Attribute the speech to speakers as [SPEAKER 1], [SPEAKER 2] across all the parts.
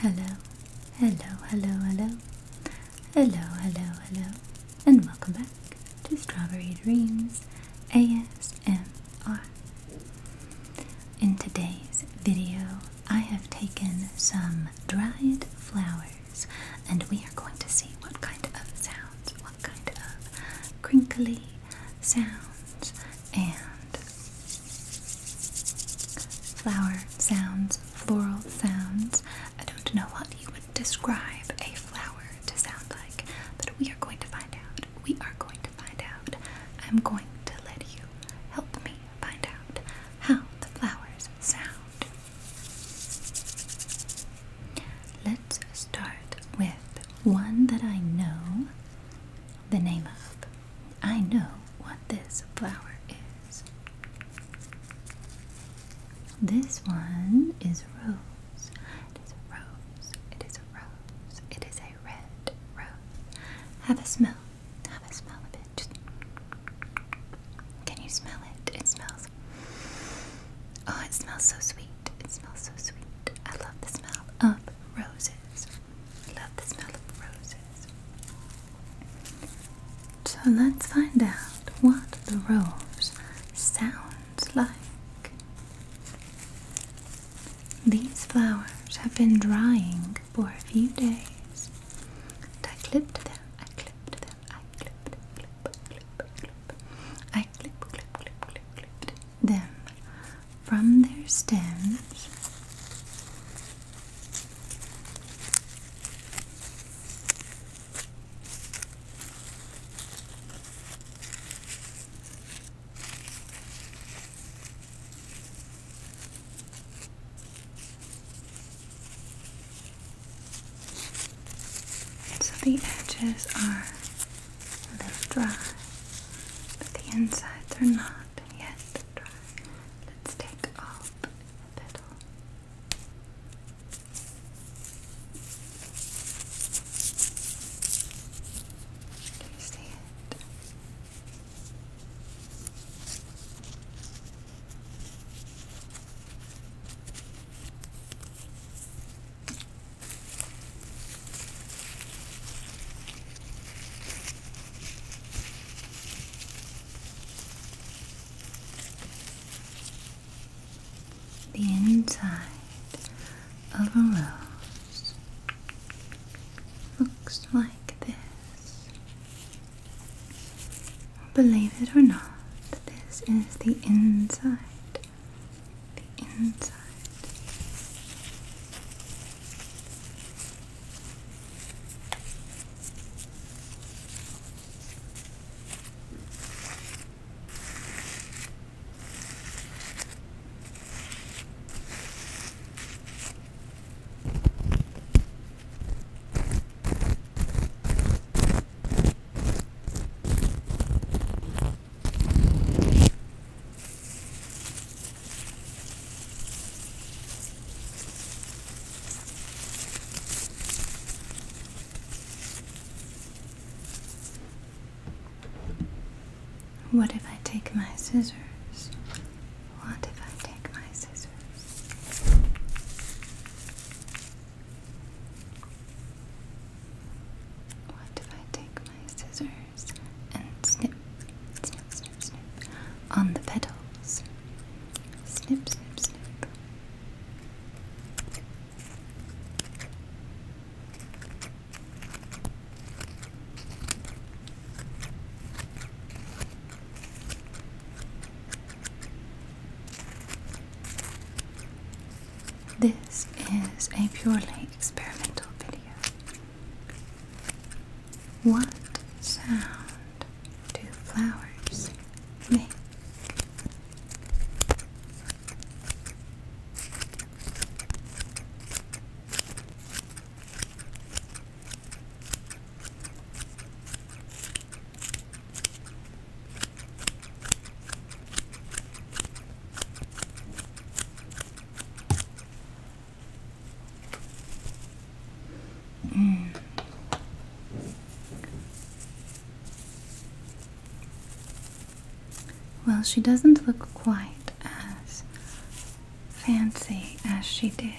[SPEAKER 1] Hello, hello, hello, hello. Hello, hello, hello. And welcome back to Strawberry Dreams ASMR. In today's video, I have taken some dried flowers and we are going to see what kind of sounds, what kind of crinkly sounds, and Flower sounds, floral sounds. I don't know what you would describe a flower to sound like, but we are going to find out. We are going to find out. I'm going to let you help me find out how the flowers sound. Let's start with one that I know the name of. I know what this flower is. This one is a rose. It is a rose. It is a rose. It is a red rose. Have a smell. Have a smell of it. Can you smell it? It smells. Oh, it smells so sweet. It smells so sweet. I love the smell of roses. I love the smell of roses. So let's find out what the rose sounds like. These flowers have been drying for a few days. I clipped them, I clipped them, I clipped them from their stems so the edges are they're dry, but the insides are not yet dry. Let's take off the petal. Do you see it? The inside of a rose looks like this. Believe it or not, this is the inside the inside. What if I take my scissors? What if I take my scissors? What if I take my scissors? and snip, snip, snip, snip on the petals. Snip, snip, snip. This is a purely experimental video. What sound do flowers make? Mm. Well, she doesn't look quite as fancy as she did.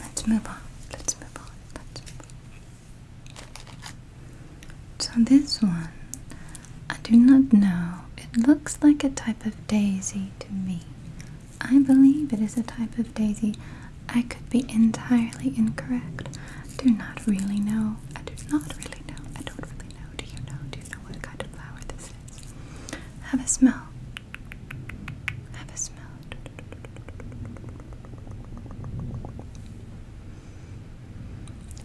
[SPEAKER 1] Let's move on. Let's move on. Let's move so this one, I do not know. It looks like a type of daisy to me. I believe it is a type of daisy. I could be entirely incorrect. Do not really know. I do not really know. I don't really know. Do you know? Do you know what kind of flower this is? Have a smell. Have a smell.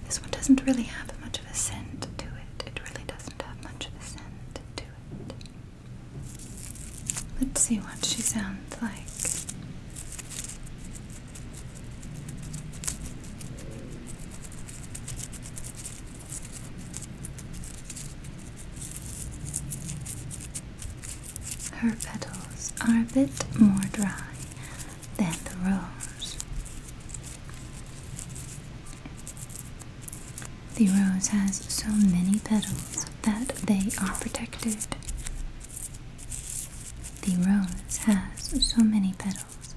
[SPEAKER 1] This one doesn't really have much of a scent to it. It really doesn't have much of a scent to it. Let's see what she sounds like. Her petals are a bit more dry than the rose. The rose has so many petals that they are protected. The rose has so many petals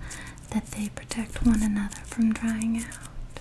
[SPEAKER 1] that they protect one another from drying out.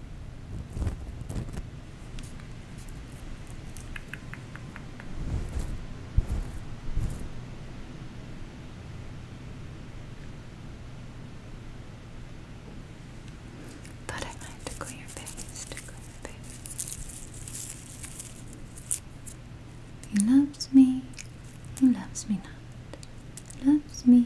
[SPEAKER 1] But I might tickle your face, He loves me, he loves me not. Loves me,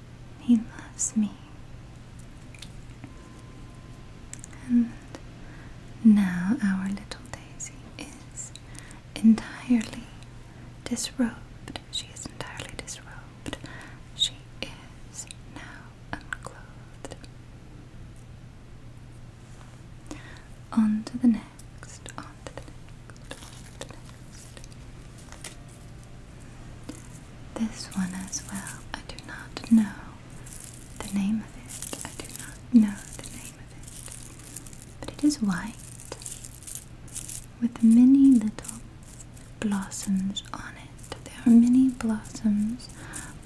[SPEAKER 1] He loves me. And now our little Daisy is entirely disrobed. She is entirely disrobed. She is now unclothed. On to the next, on to the next, on to the next. This one as well, I do not know the name of it. I do not know the name of it. But it is white with many little blossoms on it. There are many blossoms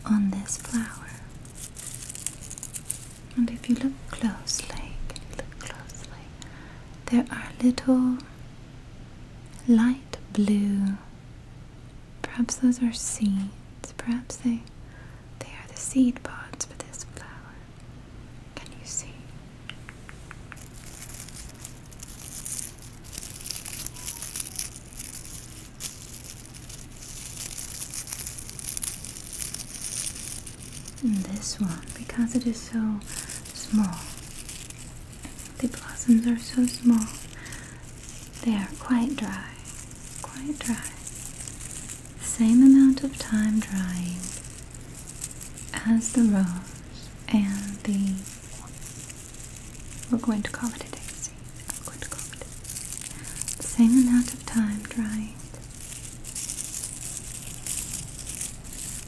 [SPEAKER 1] on this flower. And if you look closely, look closely? There are little light light blue. Perhaps those are seeds. Perhaps they they are the seed pods for this flower. Can you see? And this one, because it is so small, the blossoms are so small. They are quite dry. Quite dry. Same amount of time drying as the rose and the. We're going to call it a daisy. I'm going to call it Same amount of time drying.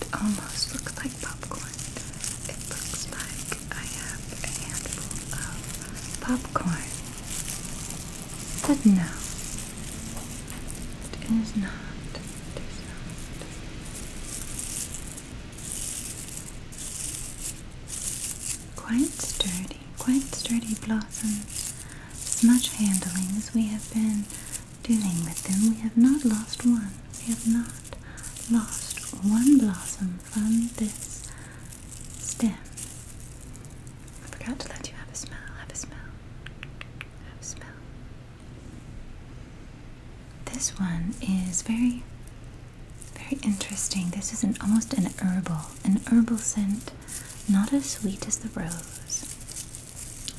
[SPEAKER 1] It almost looks like popcorn. It looks like I have a handful of popcorn. But no, it is not. It is not. Quite sturdy quite sturdy blossoms. As Much handling as we have been doing with them, we have not lost one. We have not lost one blossom from this stem. I forgot to let you have a smell, have a smell, have a smell. This one is very very interesting. This is an almost an herbal, an herbal scent, not as sweet as the rose,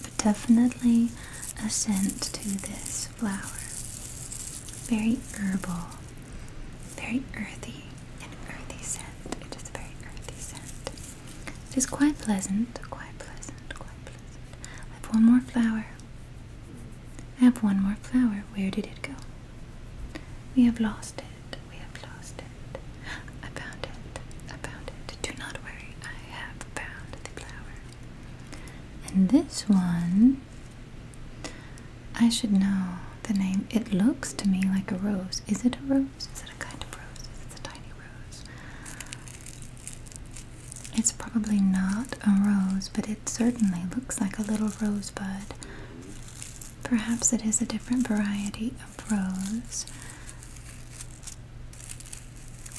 [SPEAKER 1] but definitely a scent to this flower. Very herbal, very earthy, an earthy scent. It is a very earthy scent. It is quite pleasant, quite pleasant, quite pleasant. I have one more flower. I have one more flower. Where did it go? We have lost it. We have lost it. I found it. I found it. Do not worry. I have found the flower. And this one, I should know the name. It looks to me like a rose. Is it a rose? Is it a kind of rose? Is a tiny rose? It's probably not a rose, but it it certainly looks like a little rosebud. Perhaps it is a different variety of rose.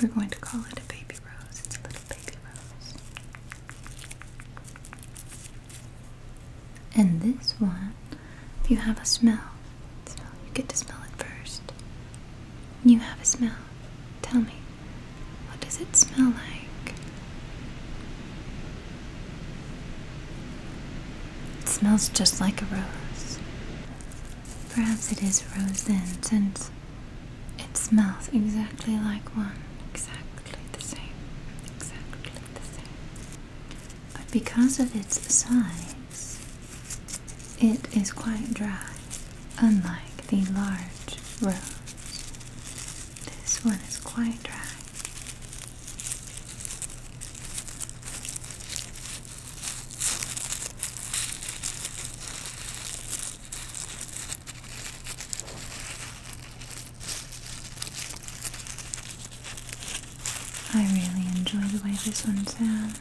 [SPEAKER 1] We're going to call it a baby rose. It's a little baby rose. And this one, if you have a smell, smell you get to smell it first. You have a smell. Tell me, what does it smell like? It smells just like a rose. Perhaps it is rose then, since it smells exactly like one. Exactly the same. Exactly the same. But because of its size, it is quite dry, unlike the large rose. This one is quite dry. I really enjoy the way this one sounds.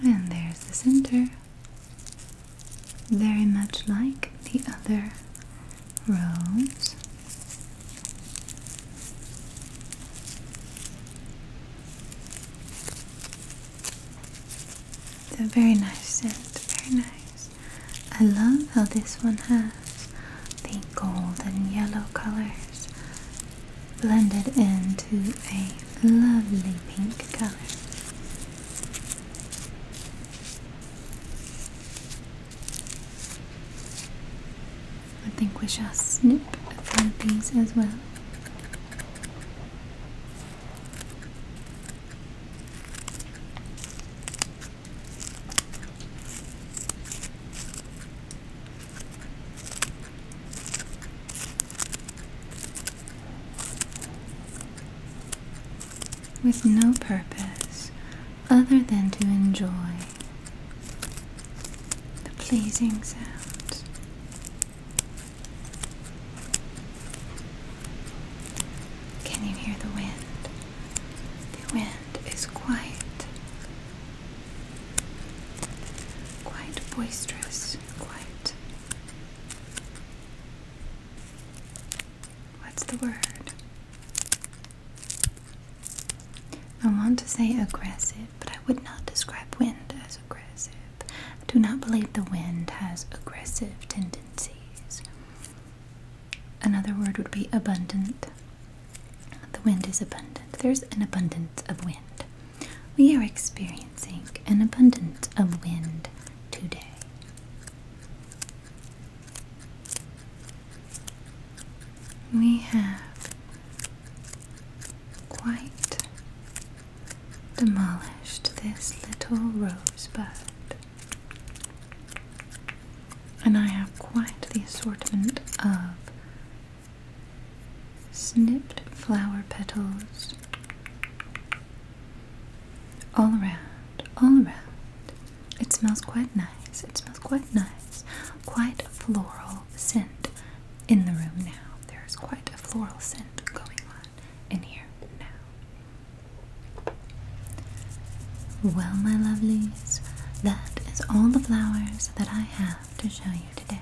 [SPEAKER 1] And there's the center, very much like the other It's a very nice scent, very nice. I love how this one has the gold and yellow colors blended into a lovely pink color. I think we shall snip a few of these as well with no purpose other than to enjoy the pleasing sound. Can you hear the wind? The wind is quiet quite boisterous, quite. What's the word? I want to say aggressive, but I would not describe wind as aggressive. I do not believe the wind has aggressive tendencies. Another word would be abundant. The wind is abundant. There's an abundance of wind. We are experiencing an abundance of wind today. We have quite demolished this little rosebud. And I have quite the assortment of Snipped flower petals all around, all around. It smells quite nice. It smells quite nice. Quite a floral scent in the room now. There's quite a floral scent going on in here now. Well, my lovelies, that is all the flowers that I have to show you today.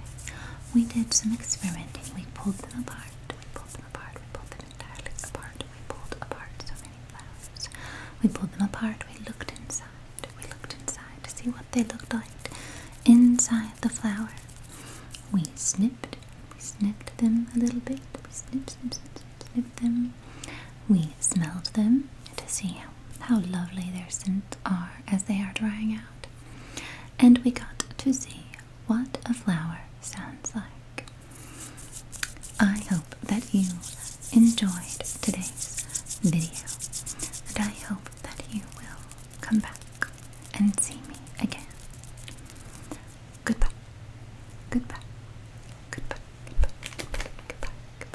[SPEAKER 1] We did some experimenting. We pulled them apart. We pulled them apart. We pulled them entirely apart. We pulled apart so many flowers. We pulled them apart. We looked inside. We looked inside to see what they looked like inside the flower. We snipped. We snipped them a little bit. We snipped, snip, snip, snip, snip them. We smelled them to see how how lovely their scents are as they are drying out. And we got to see what a flower sounds like. I hope that you enjoyed today's video, and I hope that you will come back and see me again. Goodbye. Goodbye. Goodbye. Goodbye. Goodbye. Goodbye.